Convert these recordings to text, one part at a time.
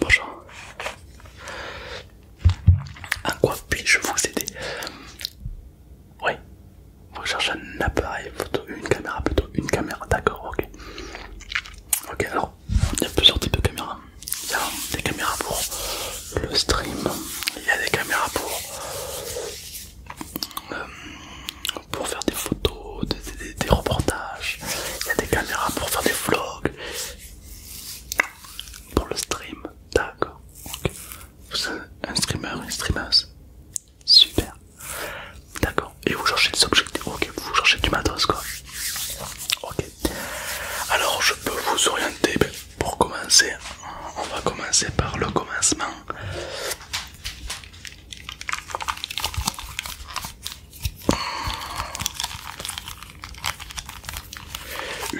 Bonjour. en quoi puis-je vous aider Oui. Vous cherchez un appareil photo, une caméra plutôt, une caméra, d'accord, ok. Ok, alors, il y a plusieurs types de caméras. Il y a des caméras pour le stream. Il y a des caméras pour, euh, pour faire des photos, des, reportages. Il y a des caméras pour faire des vlogs. Pour le stream, d'accord. Vous un streamer, une streameuse Super. D'accord. Et vous cherchez des objectifs. Ok, vous cherchez du matos quoi. Ok. Alors je peux vous orienter. Ben, pour commencer, on va commencer par le commencement.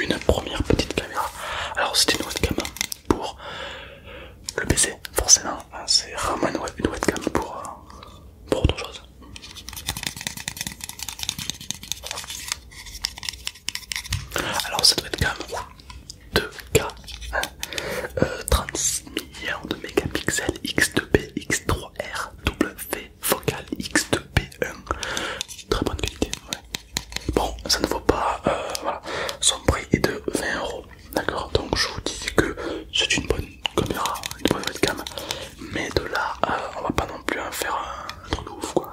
Une première petite caméra. Alors c'était une webcam pour le PC, forcément. Hein, c'est rarement une webcam pour euh, autre chose. Alors cette webcam 2K, 30 millions de mégapixels, X2P, X3R, W, focal, X2P1. Très bonne qualité. Bon, ça ne vaut pas, euh, son prix est de 20 euros. D'accord, donc je vous dis que c'est une bonne caméra, une bonne webcam, mais de là, euh, on va pas non plus en faire un truc de ouf quoi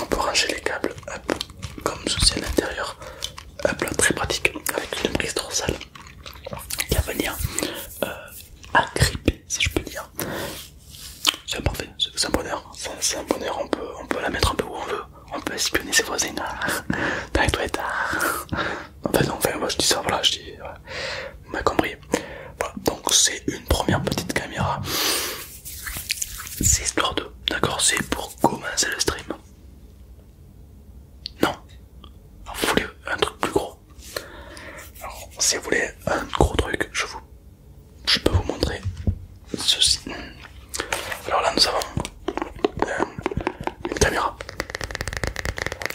on peut ranger les câbles comme ceci à l'intérieur. Un très pratique avec une prise dorsale qui va venir euh, agripper si je peux dire. C'est parfait, c'est un bonheur, c'est un bonheur, on peut, la mettre un peu où on veut, on peut espionner ses voisins hein. dans les toilettes. Hein. Enfin non, je dis ça, voilà, je dis, Vous m'avez compris. Voilà, donc c'est une première petite caméra c'est histoire de... D'accord, c'est pour commencer le stream. Non. Ah, vous voulez un truc plus gros Alors, si vous voulez un gros truc, je vous... Je peux vous montrer ceci. Alors là, nous avons euh, une caméra.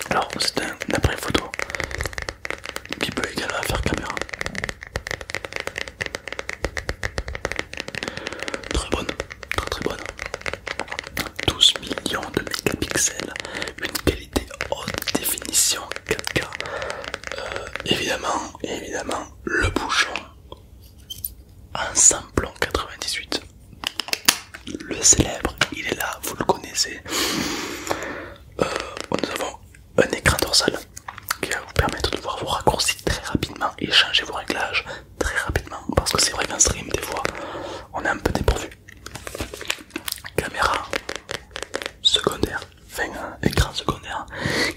Alors, c'est un appareil photo qui peut également faire caméra. Très bonne, très très bonne. 12 millions de mégapixels, une qualité haute définition 4K. Euh, évidemment, évidemment, le bouchon en samplon 98. Le célèbre, il est là, vous le connaissez. Euh, nous avons un écran dorsal qui va vous permettre de voir vos raccourcis très rapidement et changer vos réglages très rapidement parce que c'est vrai qu'en stream des fois on est un peu dépourvu. Caméra secondaire, enfin écran secondaire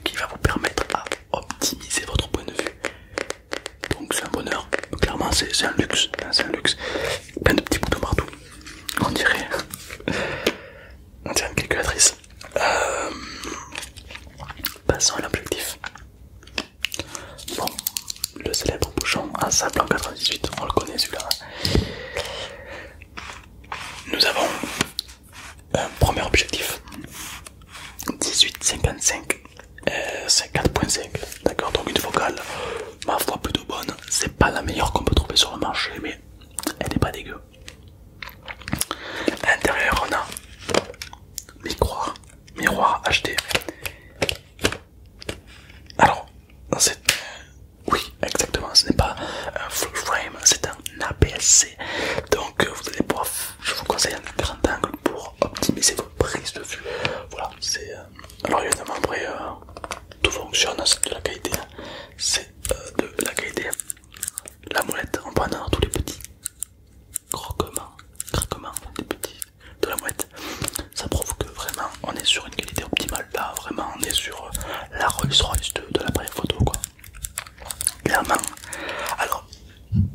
qui va vous permettre à optimiser votre point de vue. Donc c'est un bonheur, clairement c'est un luxe, luxe. Plein de petits boutons partout. On dirait, on dirait une calculatrice. Euh, passons à l'objectif. Bon, le célèbre bouchon à sable en 98, on le connaît celui-là. Nous avons un premier objectif 1855 4.5, euh, d'accord, donc une vocale ma foi plutôt bonne, c'est pas la meilleure qu'on peut trouver sur le marché, mais elle n'est pas dégueu. À l'intérieur, on a miroir, miroir HD. Alors, c'est oui, exactement. Ce n'est pas un full frame, c'est un APS-C. Donc, euh, vous allez pouvoir. Je vous conseille un grand angle pour optimiser vos prises de vue. Voilà, c'est. il euh, alors, évidemment, après, euh, tout fonctionne, c'est de la qualité. Hein. C'est de la qualité la molette en avoir tous les petits croquements, petits de la molette. Ça prouve que vraiment on est sur une qualité optimale. Là, vraiment, on est sur euh, la Rolls Royce de, la l'appareil photo, quoi. Clairement. Alors,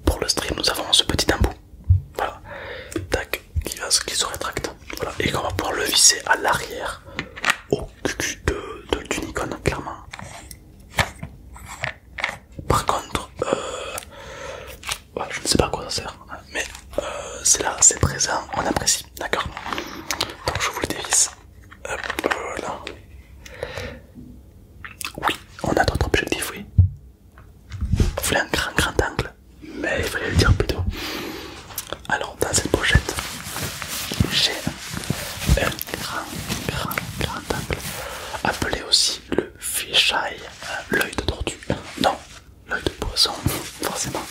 pour le stream, nous avons ce petit embout. Voilà, tac, qui, se rétracte. Voilà, et qu'on va pouvoir le visser à l'arrière du d'une clairement. Par contre, euh, je ne sais pas à quoi ça sert, mais euh, c'est là, c'est présent, on apprécie, d'accord Donc je vous le dévisse. Hop, Oui, on a d'autres objectifs, oui. Vous voulez un grand, grand angle, mais il fallait le dire plutôt. Alors dans cette pochette, j'ai un grand, grand, grand angle, appelé aussi le fisheye, euh, l'œil de tortue. Non, l'œil de poisson, forcément.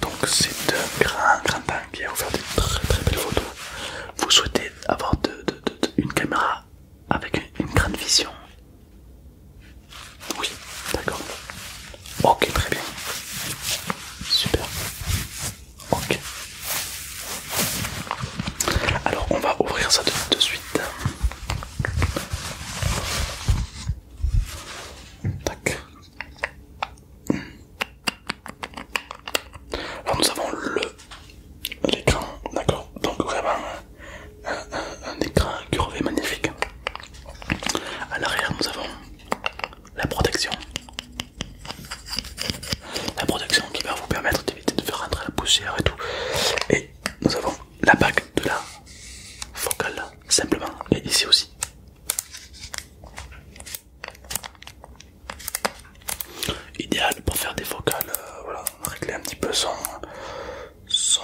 Donc c'est un grand, grand angle qui a ouvert des très, très belles photos. Vous souhaitez avoir une caméra avec une grande vision oui, d'accord. Ok, très bien. Super. Ok. Alors, on va ouvrir ça de, de suite. Alors, nous avons le l'écran, d'accord. Donc vraiment un, écran curvé magnifique. À l'arrière, nous avons la protection. La protection qui va vous permettre d'éviter de faire rentrer la poussière et tout. Et nous avons la bague de la focale, simplement, et ici aussi. Idéal pour faire des focales, euh, voilà, régler un petit peu son, son,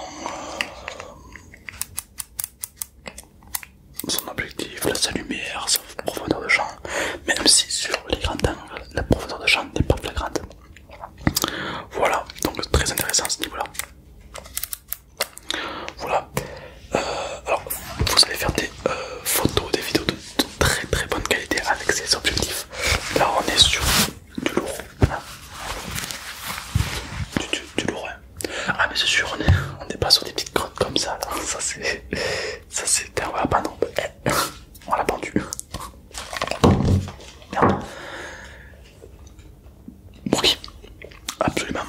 son objectif, la sa lumière, sa profondeur de champ, même si sur les grands angles, la profondeur de champ n'est pas flagrante. Voilà, donc très intéressant à ce niveau-là. Voilà, euh, alors vous allez faire des euh, photos, des vidéos de, très très bonne qualité avec ces objectifs. Là, on est sur du lourd, du, lourd du hein. lourd, ah mais c'est sûr, on n'est pas sur des petites grottes comme ça Ça c'est... Ça c'est... Ouais, bah non. Eh, on l'a pendu. Merde. absolument.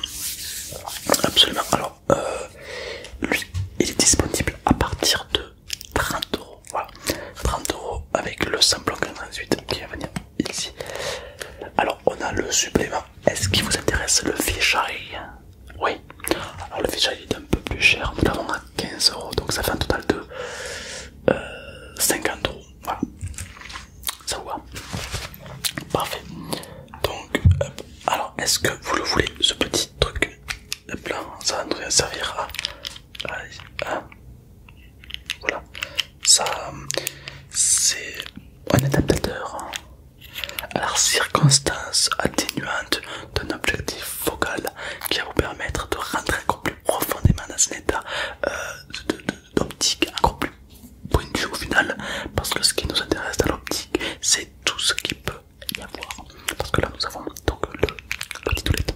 Absolument. Alors, euh, lui, il est disponible à partir de 30 Voilà. 30 euros avec le samplon 98 qui va venir ici. Alors, on a le supplément. Est-ce qu'il vous intéresse le fichari Oui. Alors, le fichier est un peu plus cher. on à 15 euros. Donc, ça fait un total de 50 euh, euros. Voilà. Ça vous va Parfait. Donc, alors, est-ce que vous le voulez, ce petit truc Hop là, ça va nous servir à voilà, ça c'est un adaptateur à la circonstance atténuante d'un objectif focal qui va vous permettre de rentrer encore plus profondément dans un état euh, d'optique encore plus pointu au final, parce que ce qui nous intéresse dans l'optique, c'est tout ce qui peut y avoir. Parce que là nous avons donc le, petit toilette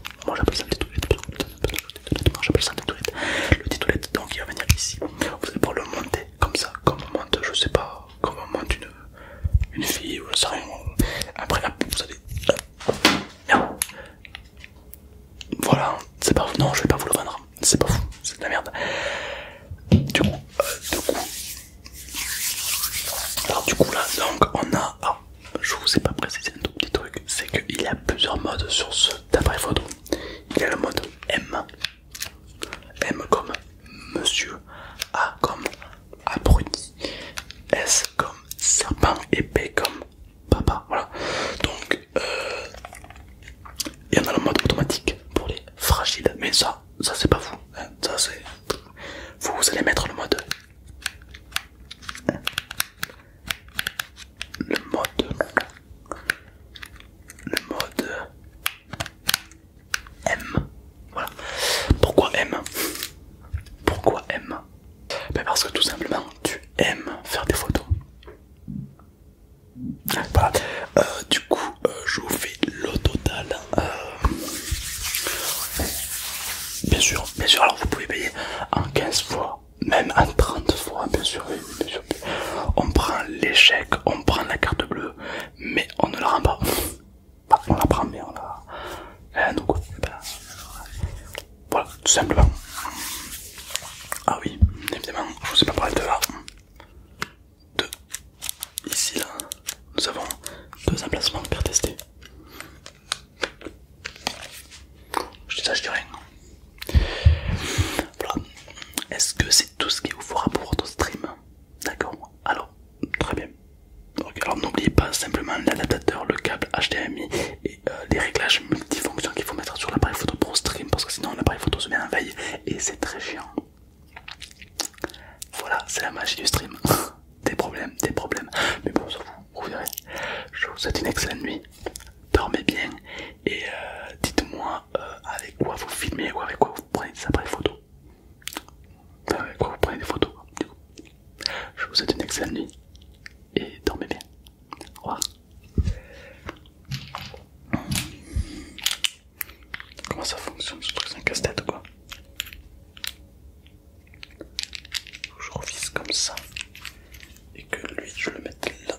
j'appelle ça Le toilette, donc il va venir ici. Vous allez pouvoir le monter comme ça, comme on monte, je sais pas, comme on monte une, fille ou je sais rien. Après, là, vous allez. Voilà, c'est pas fou, Non, je vais pas vous le vendre. C'est pas fou, c'est de la merde. Du coup, euh, du coup. Alors, du coup, là, donc on a. Ah, je vous ai pas précisé un tout petit truc, c'est qu'il y a plusieurs modes sur ce d'après photo. Il y a le mode M. M comme monsieur, A comme abruti, S comme serpent et P comme papa. Voilà. Donc euh, il y en a le mode automatique pour les fragiles, mais ça, ça c'est pas vous. Hein. Ça c'est vous, vous allez mettre le mode. Hein. Le mode le mode M. Voilà. Pourquoi M Pourquoi M ben Parce que tout simplement tu aimes faire des photos. Voilà. Euh, du coup, euh, je vous fais le total. Euh, bien sûr, bien sûr. Alors vous pouvez payer en 15 fois même en 30 fois, bien sûr, On prend l'échec, on prend la carte bleue, mais on ne la rend pas. Bah, on la prend, mais on la. Eh, donc, eh ben, voilà, tout simplement. Ah oui, évidemment, je vous ai pas parlé de là. De ici, là, nous avons deux emplacements pour tester. Je te dis rien. Voilà. Est-ce que c'est tout ce qu'il vous fera pour votre stream D'accord. Alors, très bien. Alors n'oubliez pas simplement l'adaptateur, le câble HDMI et euh, les réglages multifonctions qu'il faut mettre sur l'appareil photo pour stream parce que sinon l'appareil photo se met en veille et c'est très chiant. Voilà, c'est la magie du stream. des problèmes, des problèmes. Mais bon, ça vous, vous verrez. Je vous souhaite une excellente nuit dormez bien et euh, dites-moi euh, avec quoi vous filmez ou avec quoi vous prenez des après photo. avec quoi vous prenez des photos. Du coup. Je vous souhaite une excellente nuit et dormez bien. Au revoir. Comment ça fonctionne ce truc, c'est casse-tête quoi Je revisse comme ça et que lui je le mette là.